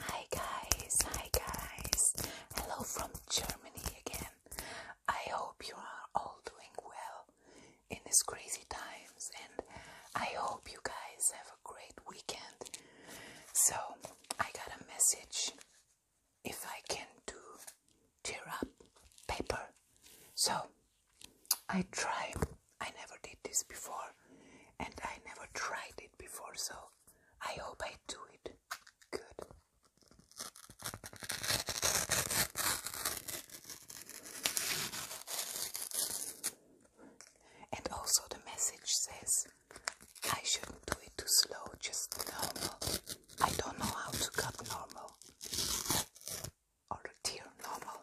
Hi guys, hi guys. Hello from Germany again. I hope you are all doing well in these crazy times and I hope you guys have a great weekend. So, I got a message if I can do tear up paper. So, I try. I never did this before and I never tried it before, so I hope I do it good. And also, the message says I shouldn't do it too slow, just normal. I don't know how to cut normal or tear normal.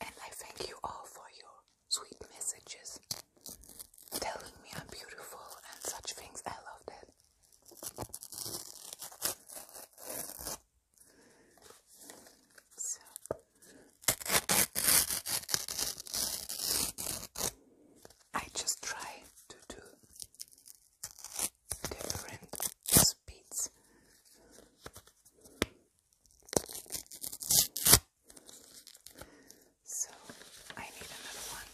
And I thank you all for your sweet messages telling me I'm beautiful and such things. I love that. I just try to do different speeds. So I need another one.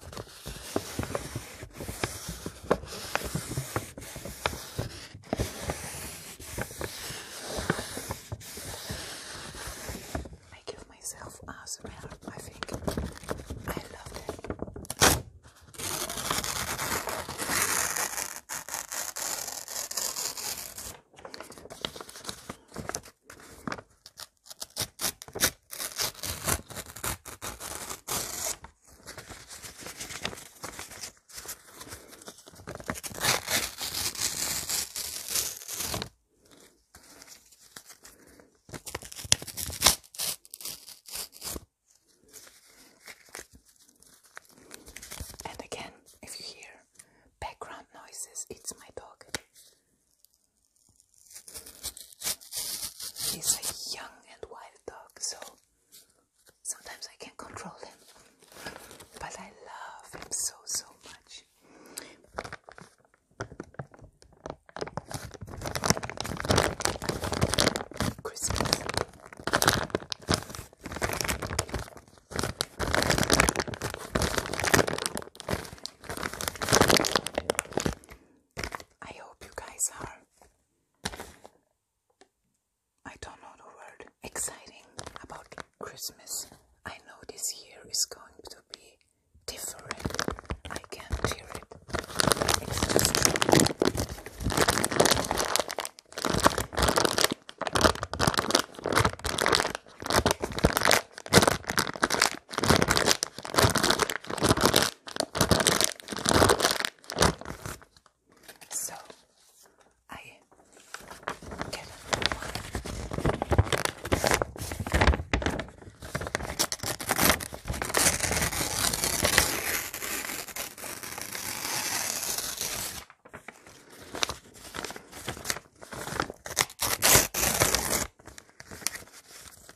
I give myself awesome help, I think. I love it. And again, if you hear background noises, it's my dog. He's a young and wild dog, so sometimes I can not control him. But I love him so, so much. Christmas. I hope you guys are. I don't know the word. Exciting about Christmas. I know this year is going to be different. I can't hear it. So I get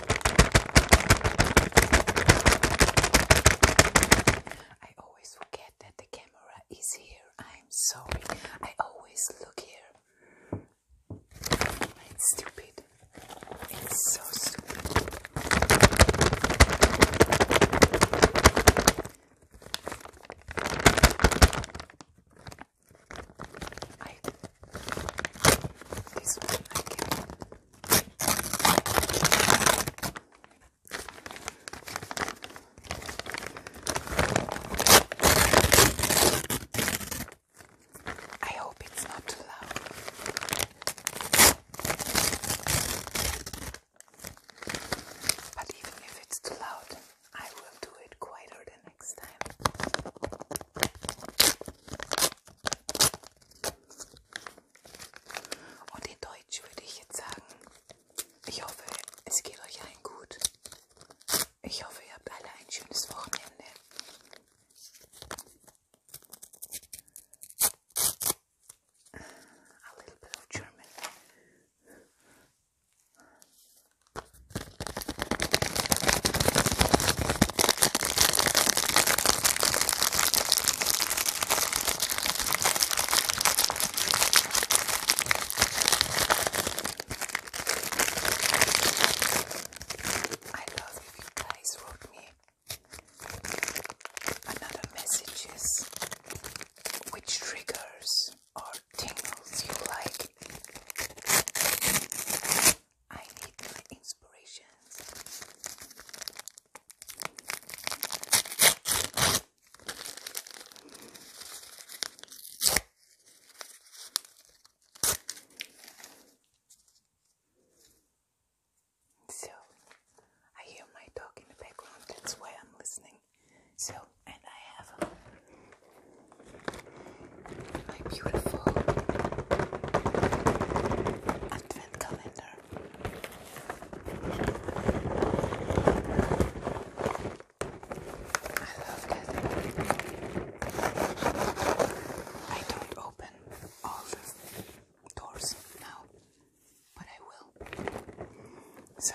I always forget that the camera is here. I'm sorry. I always look here. It's stupid. It's so stupid. I, I hope it's not too loud. But even if it's too loud, I will do it quieter the next time. Und in Deutsch würde ich jetzt sagen, ich hoffe, es geht euch allen gut. Ich hoffe, ihr habt alle ein schönes Wochenende. A little bit of German. I love if you guys wrote me another messages which triggers or tingles you like. I need my inspirations. So, I hear my dog in the background, that's why I'm listening. So, and I have um, my beautiful. I love that. I don't open all the doors now, but I will. So.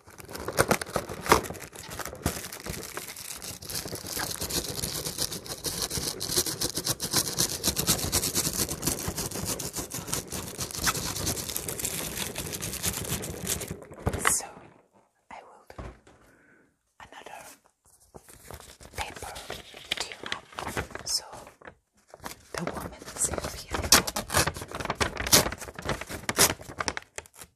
So I will do another paper tune up. So the woman Sylvia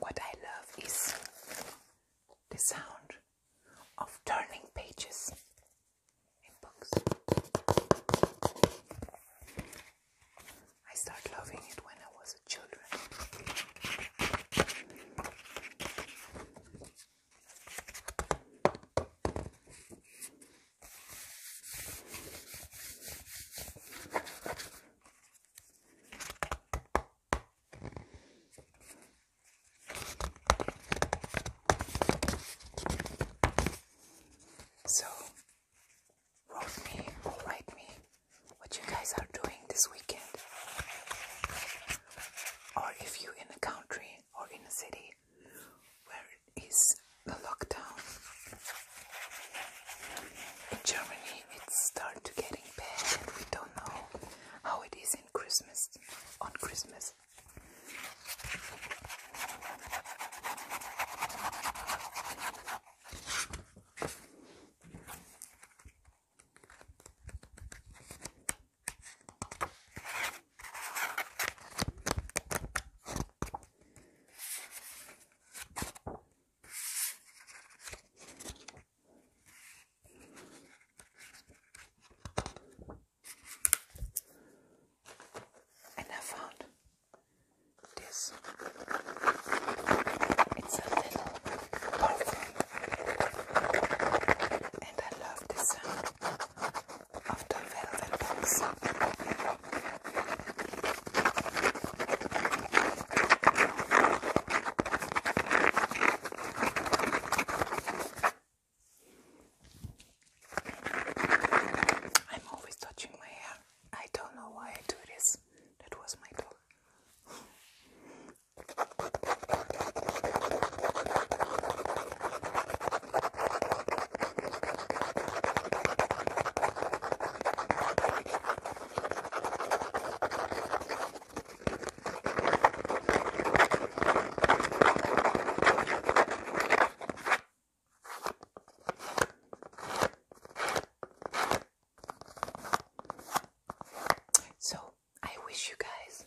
What I love is the sound of turning pages in books. I started loving it when I was a child. So, wrote me or write me what you guys are doing this weekend, or if you in a country or in a city where is the lockdown. In Germany, it's starting started getting bad, and we don't know how it is in Christmas. On Christmas. And I found this. It's a little perfume, and I love this sound. I'm always touching my hair. I don't know why I do this. That was my dog. So, I wish you guys